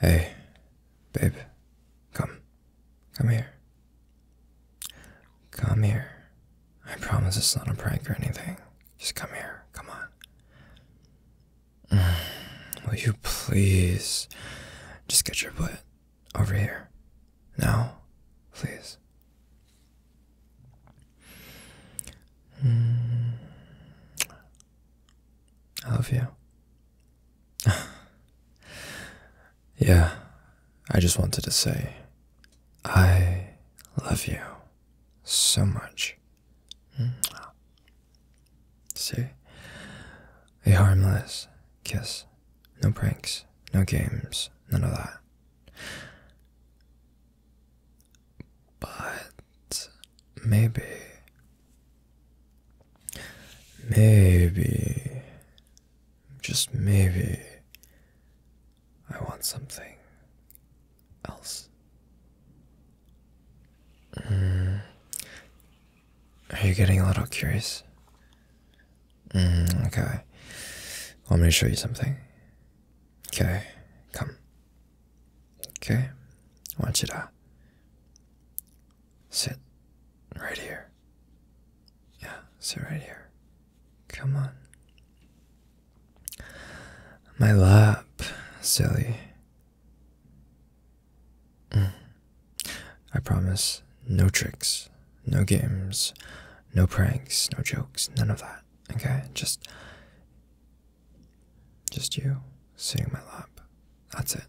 Hey, babe, come. Come here. Come here. I promise it's not a prank or anything. Just come here. Come on. Will you please just get your butt over here? Now, please. I love you. yeah, I just wanted to say I love you so much. Mm-hmm. See? A harmless kiss. No pranks, no games, none of that but maybe, maybe, just maybe, I want something else. Hmm. Are you getting a little curious? Mm, okay. Want me to show you something? Okay, come. Okay, I want you to sit right here. Yeah, sit right here. Come on. My lap, silly. Mm. I promise no tricks, no games, no pranks, no jokes, none of that. Okay, just just you sitting in my lap. That's it.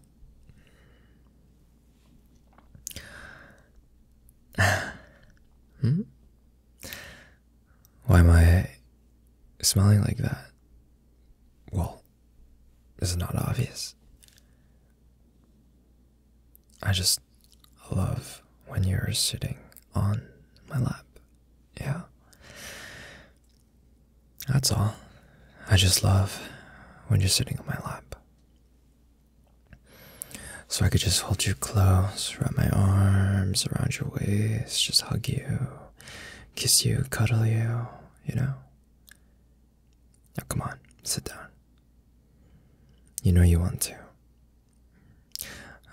hmm? Why am I smelling like that? Well, it's not obvious. I just love when you're sitting on my lap yeah. That's all. I just love when you're sitting on my lap. So I could just hold you close, wrap my arms around your waist, just hug you, kiss you, cuddle you, you know? Now, come on, sit down. You know you want to.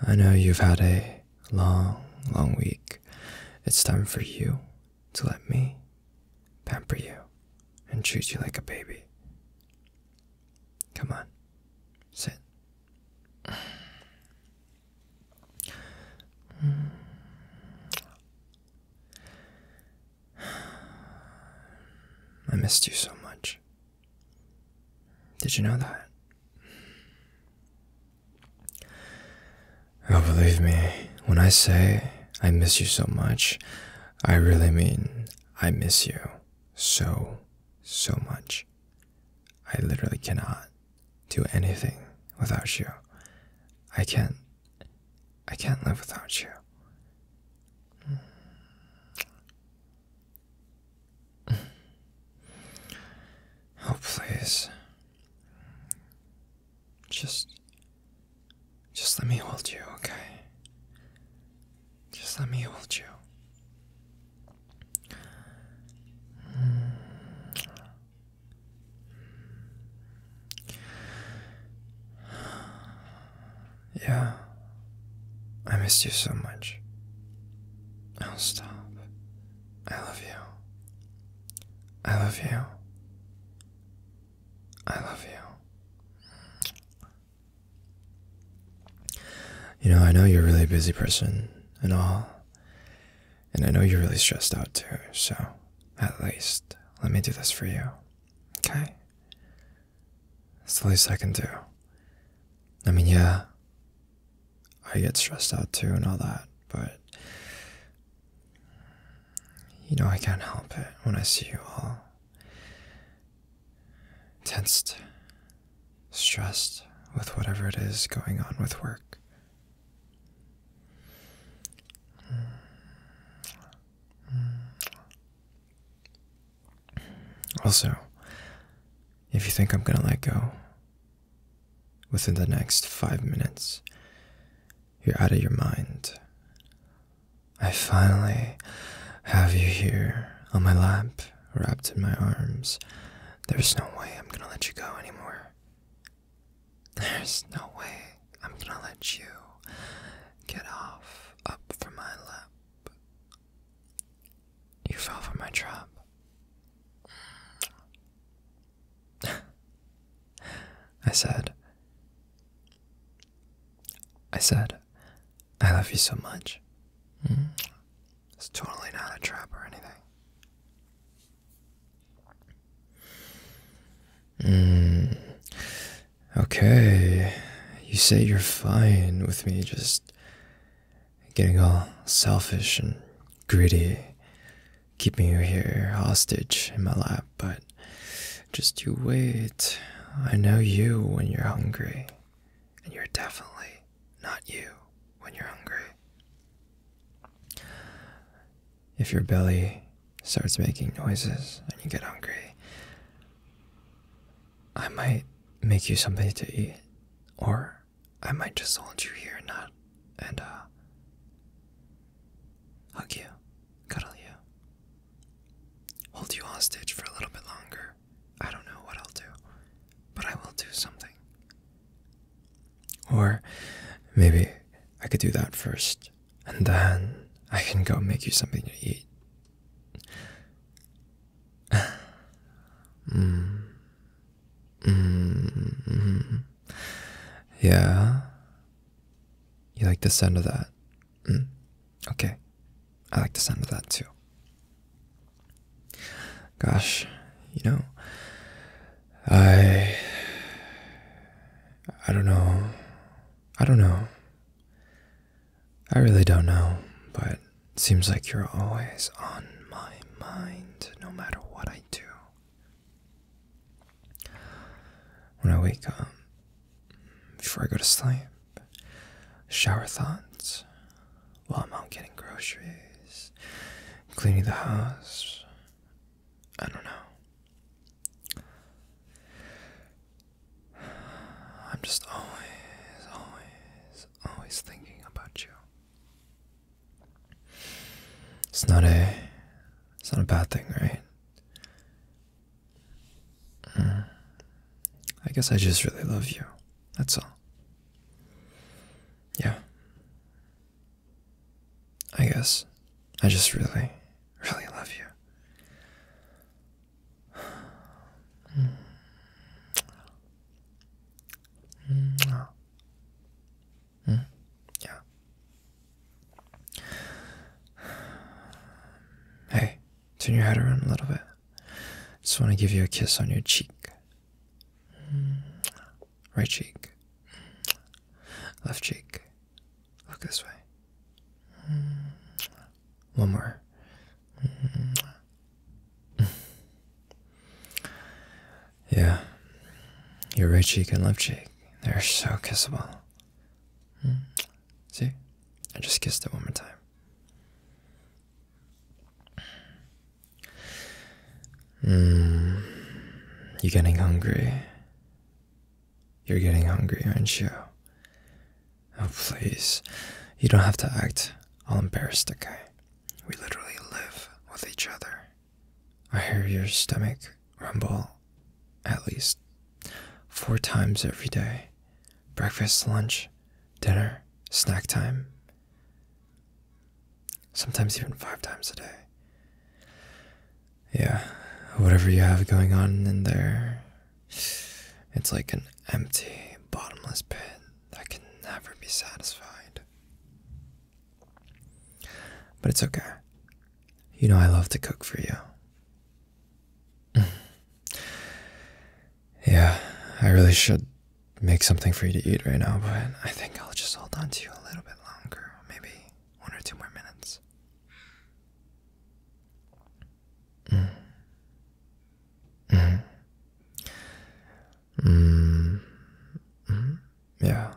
I know you've had a long, long week. It's time for you to let me pamper you and treat you like a baby. Come on, sit. I missed you so much. Did you know that? Oh, believe me, when I say I miss you so much, I really mean I miss you so, so much. I literally cannot do anything without you. I can't. I can't live without you. Oh, please. Just. Just let me hold you, okay? Just let me hold you. Yeah. I missed you so much. I'll stop. I love you. I love you. I love you. You know, I know you're a really busy person and all. And I know you're really stressed out too, so at least let me do this for you. Okay? It's the least I can do. I mean, yeah, I get stressed out too and all that, but you know, I can't help it when I see you all tensed, stressed with whatever it is going on with work. Also, if you think I'm gonna let go within the next five minutes, you're out of your mind. I finally have you here on my lap, wrapped in my arms. There's no way I'm gonna let you go anymore. There's no way I'm gonna let you get off up from my lap. You fell for my trap. I said, I said, I love you so much. Mm. It's totally not a trap or anything. Mm. Okay, you say you're fine with me just getting all selfish and greedy, keeping you here hostage in my lap, but just you wait. I know you when you're hungry, and you're definitely not you when you're hungry. If your belly starts making noises and you get angry. I might make you something to eat, or I might just hold you here and not and uh, hug you, cuddle you, hold you hostage for a little bit longer. I don't know what I'll do, but I will do something. Or maybe I could do that first and then I can go make you something to eat. mm. Mm -hmm. Yeah. You like the sound of that? Mm. Okay. I like the sound of that too. Gosh, you know, I I don't know I don't know. I really don't know, but it seems like you're always on my mind no matter what I do. When I wake up, before I go to sleep, shower thoughts while I'm out getting groceries, cleaning the house. I don't know. I'm just always, always, always thinking about you. It's not a, it's not a bad thing, right? Mm. I guess I just really love you. That's all. Yeah. I guess I just really, really love you. Mm, yeah. Hey, turn your head around a little bit. Just want to give you a kiss on your cheek. Right cheek. Left cheek. Look this way. Mm. One more. Mm. Yeah. Your right cheek and left cheek. They're so kissable. Mm. See? I just kissed it one more time. Mm, you getting hungry? You're getting hungry, aren't you? Oh, please. You don't have to act all embarrassed, okay? We literally live with each other. I hear your stomach rumble at least four times every day breakfast, lunch, dinner, snack time sometimes even five times a day. Yeah, whatever you have going on in there, it's like an empty, bottomless pit that can never be satisfied. But it's okay. You know, I love to cook for you. yeah, I really should make something for you to eat right now, but I think I'll just hold on to you a little bit longer maybe one or two more minutes. Mm. Mm. Mm. Yeah.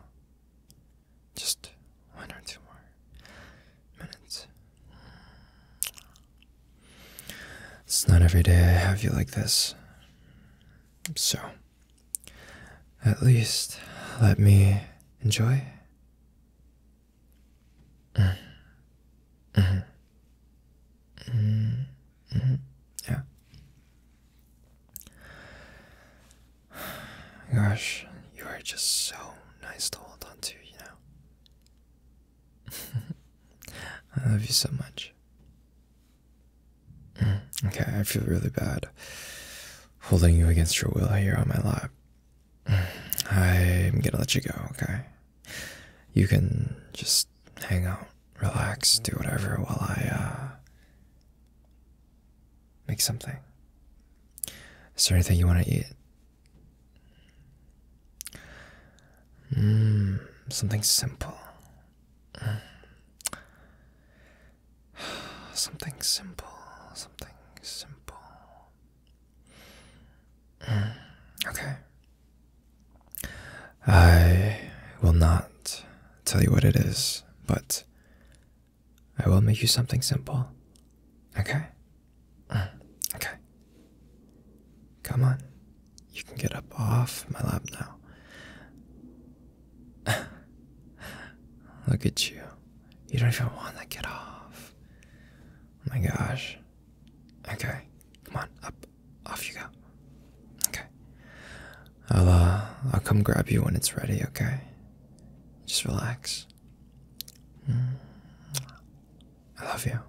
Just one or two more minutes. It's not every day I have you like this. So, at least let me enjoy. Yeah. Gosh, you are just so nice to hold on to, you know. I love you so much. Mm, okay, I feel really bad holding you against your will here on my lap. Mm, I'm gonna let you go, okay? You can just hang out, relax, do whatever while I, uh, make something. Is there anything you want to eat? Mmm, something simple. Something simple, something simple. Mm, okay. I will not tell you what it is, but I will make you something simple. Okay? Mm, okay. Come on. You can get up off my lap now. Look at you. You don't even want to get off. Oh my gosh. Okay. Come on, up. Off you go. Okay. I'll uh I'll come grab you when it's ready, okay? Just relax. Mm. I love you.